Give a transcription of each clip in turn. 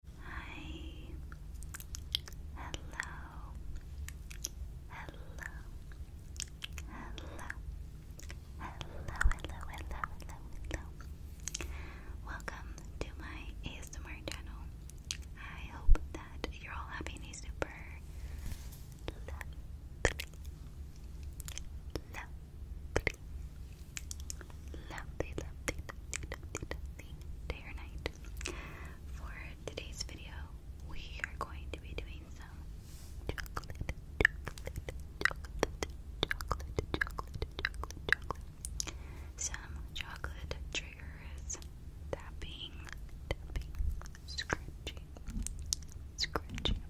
Hi. Hello. Hello. Hello. Hello, hello, hello, hello, hello. Welcome to my ASMR channel. I hope that you're all having a super lovely, lovely, lovely, lovely, lovely, lovely, day or night. For today's video, we are going to be doing some chocolate, chocolate, chocolate, chocolate, chocolate, chocolate, chocolate. Some chocolate triggers, tapping, tapping, scratching, scratching.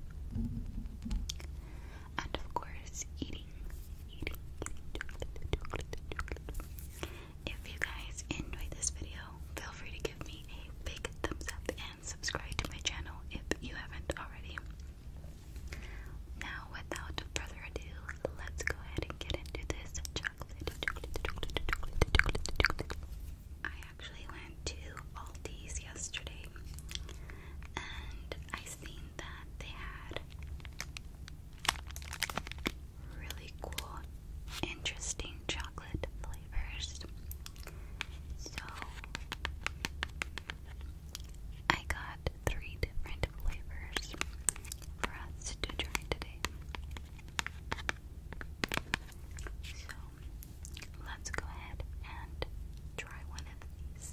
And of course, eating if you guys enjoyed this video, feel free to give me a big thumbs up and subscribe to my channel if you haven't already. Now, without further ado, let's go ahead and get into this chocolate. I actually went to Aldi's yesterday and I seen that they had really cool, interesting chocolate flavors. So I got three different flavors for us to try today. So let's go ahead and try one of these.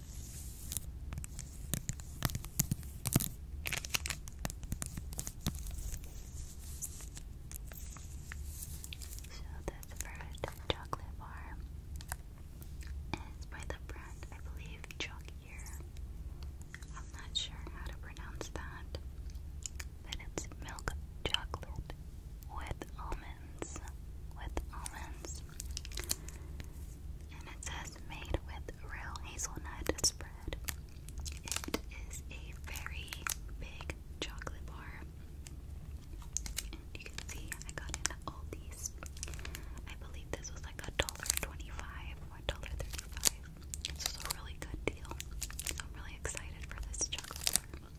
So this first chocolate bar is by the brand, I believe, Chalkier. I'm not sure how to pronounce that, but it's milk chocolate with almonds, with almonds. And it says made with real hazelnut spread. It is a very big chocolate bar. you can see I got it at I believe this was like a dollar twenty-five or a dollar thirty-five. This a really good deal. I'm really excited for this chocolate bar.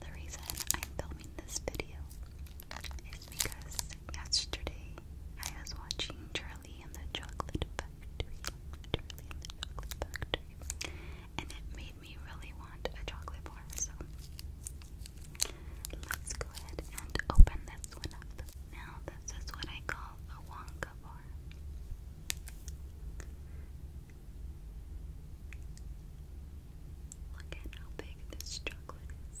The reason I'm filming this video is because Yesterday, I was watching Charlie and the Chocolate Factory. Charlie and the Chocolate Factory. And it made me really want a chocolate bar, so let's go ahead and open this one up. Now, this is what I call a Wonka bar. Look at how big this chocolate is.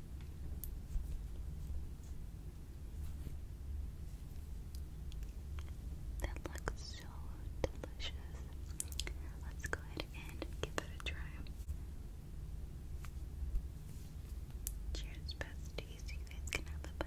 That looks so delicious. Let's go ahead and give it a try. Cheers, besties. You guys bite.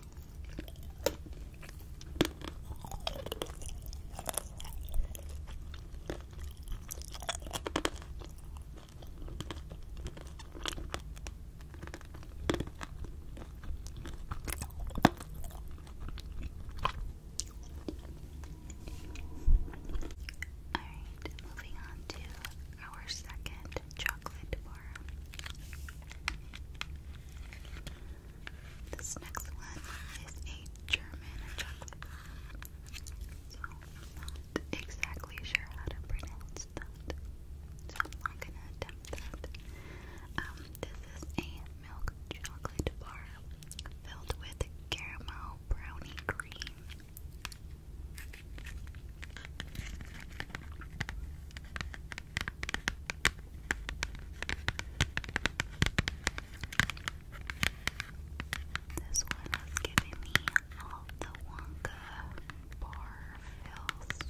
Alright, moving on to our second chocolate bar. This next one is a German chocolate. not exactly sure how to pronounce that. So I'm gonna attempt that. Um, this is a milk chocolate bar filled with caramel brownie cream. This one is giving me all the Wonka bar fills.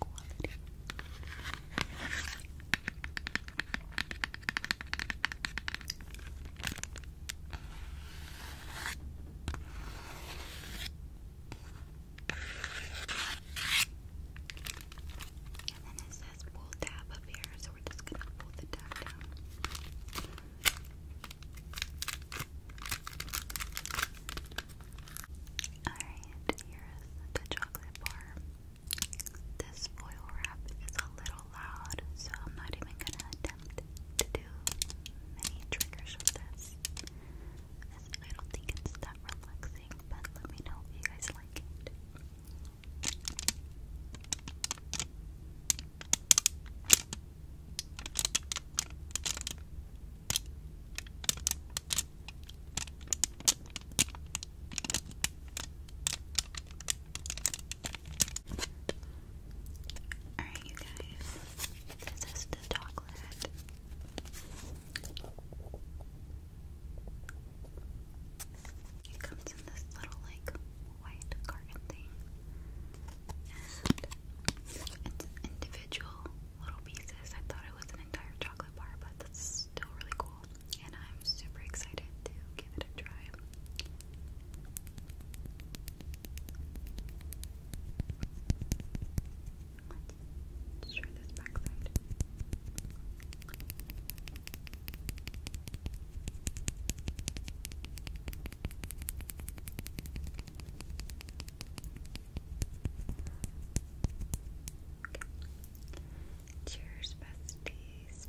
quality. And it says pull tab up here, so we're just gonna pull the tab down. Alright, here's the chocolate bar. This foil wrap is a little loud, so I'm not even gonna attempt to do many triggers with I don't think it's that relaxing, but let me know if you guys like it. Alright, you guys, this is the chocolate. It comes in this little, like, white carton thing. And it's individual little pieces. I thought it was an entire chocolate bar, but that's still really cool, and I'm super excited to give it a try. Let's try this back side. Okay. Cheers, besties.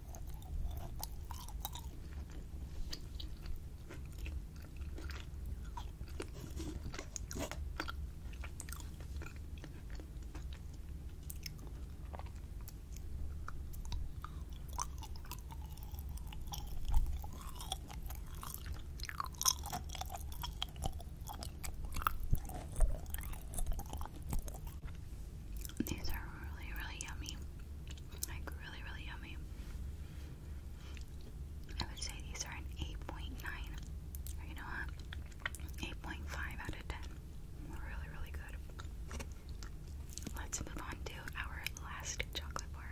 These are really, really yummy. Like really, really yummy. I would say these are an 8.9 or you know what? 8.5 out of 10. Really, really good. Let's move on to our last chocolate bar.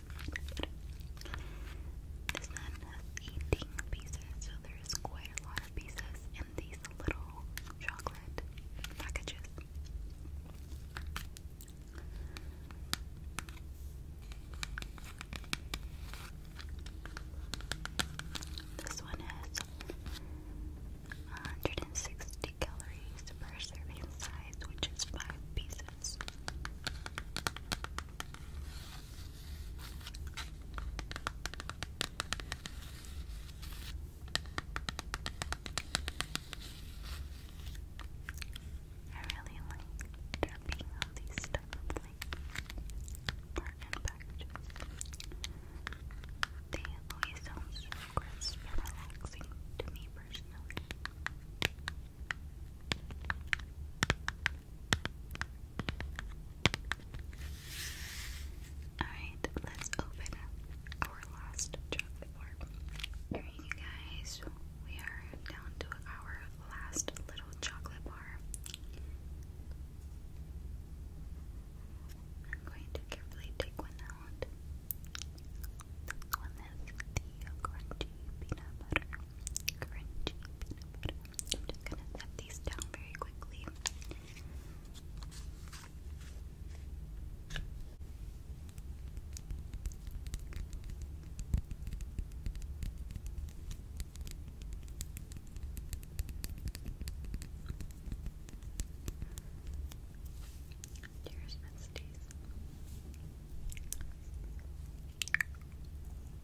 this nun has 18 pieces, so there is quite a lot of pieces in these little chocolate packages. This one has 160 calories per serving size, which is five pieces. I really like tapping on these stuff like art and packages. They always sound so crisp and relaxing to me personally. Alright, let's open up our last chocolate bar. Alright, you guys, we are down to our last little chocolate bar. I'm going to carefully take one out. This one is the crunchy peanut butter crunchy peanut I'm just gonna set these down very quickly. Cheers, Miss Daisy.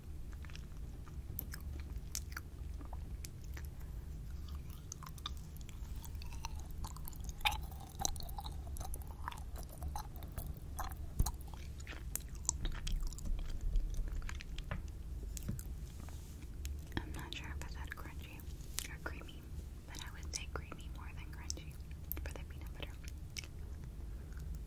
I'm not sure if I said crunchy or creamy, but I would say creamy more than crunchy for the peanut butter.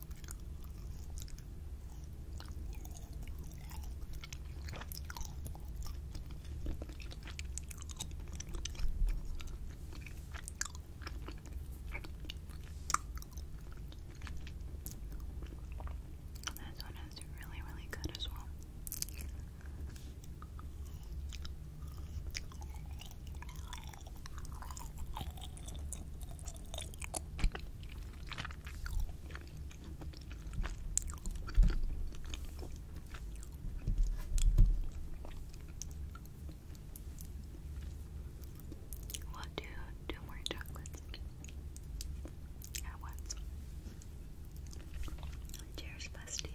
This one is really, really good as well. We'll two more chocolates at once. Cheers, besties.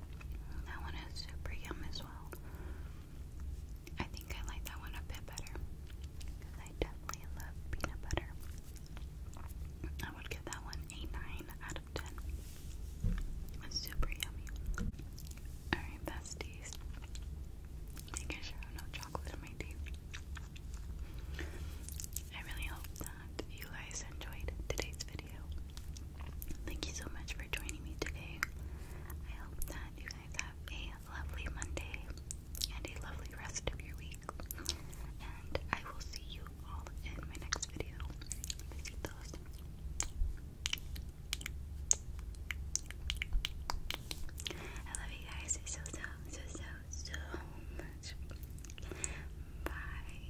That one is super yum as well. I think I like that one a bit better because I definitely love peanut butter. I would give that one a 9 out of 10. It's super yummy. Alright, besties. Making sure I have no chocolate in my teeth. I really hope that you guys enjoyed today's video. Thank you so much for joining me today. I hope that you guys have a lovely Monday and a lovely rest of your week. And I will see you all in my next video. I love you guys so, so, so, so, so much. Bye.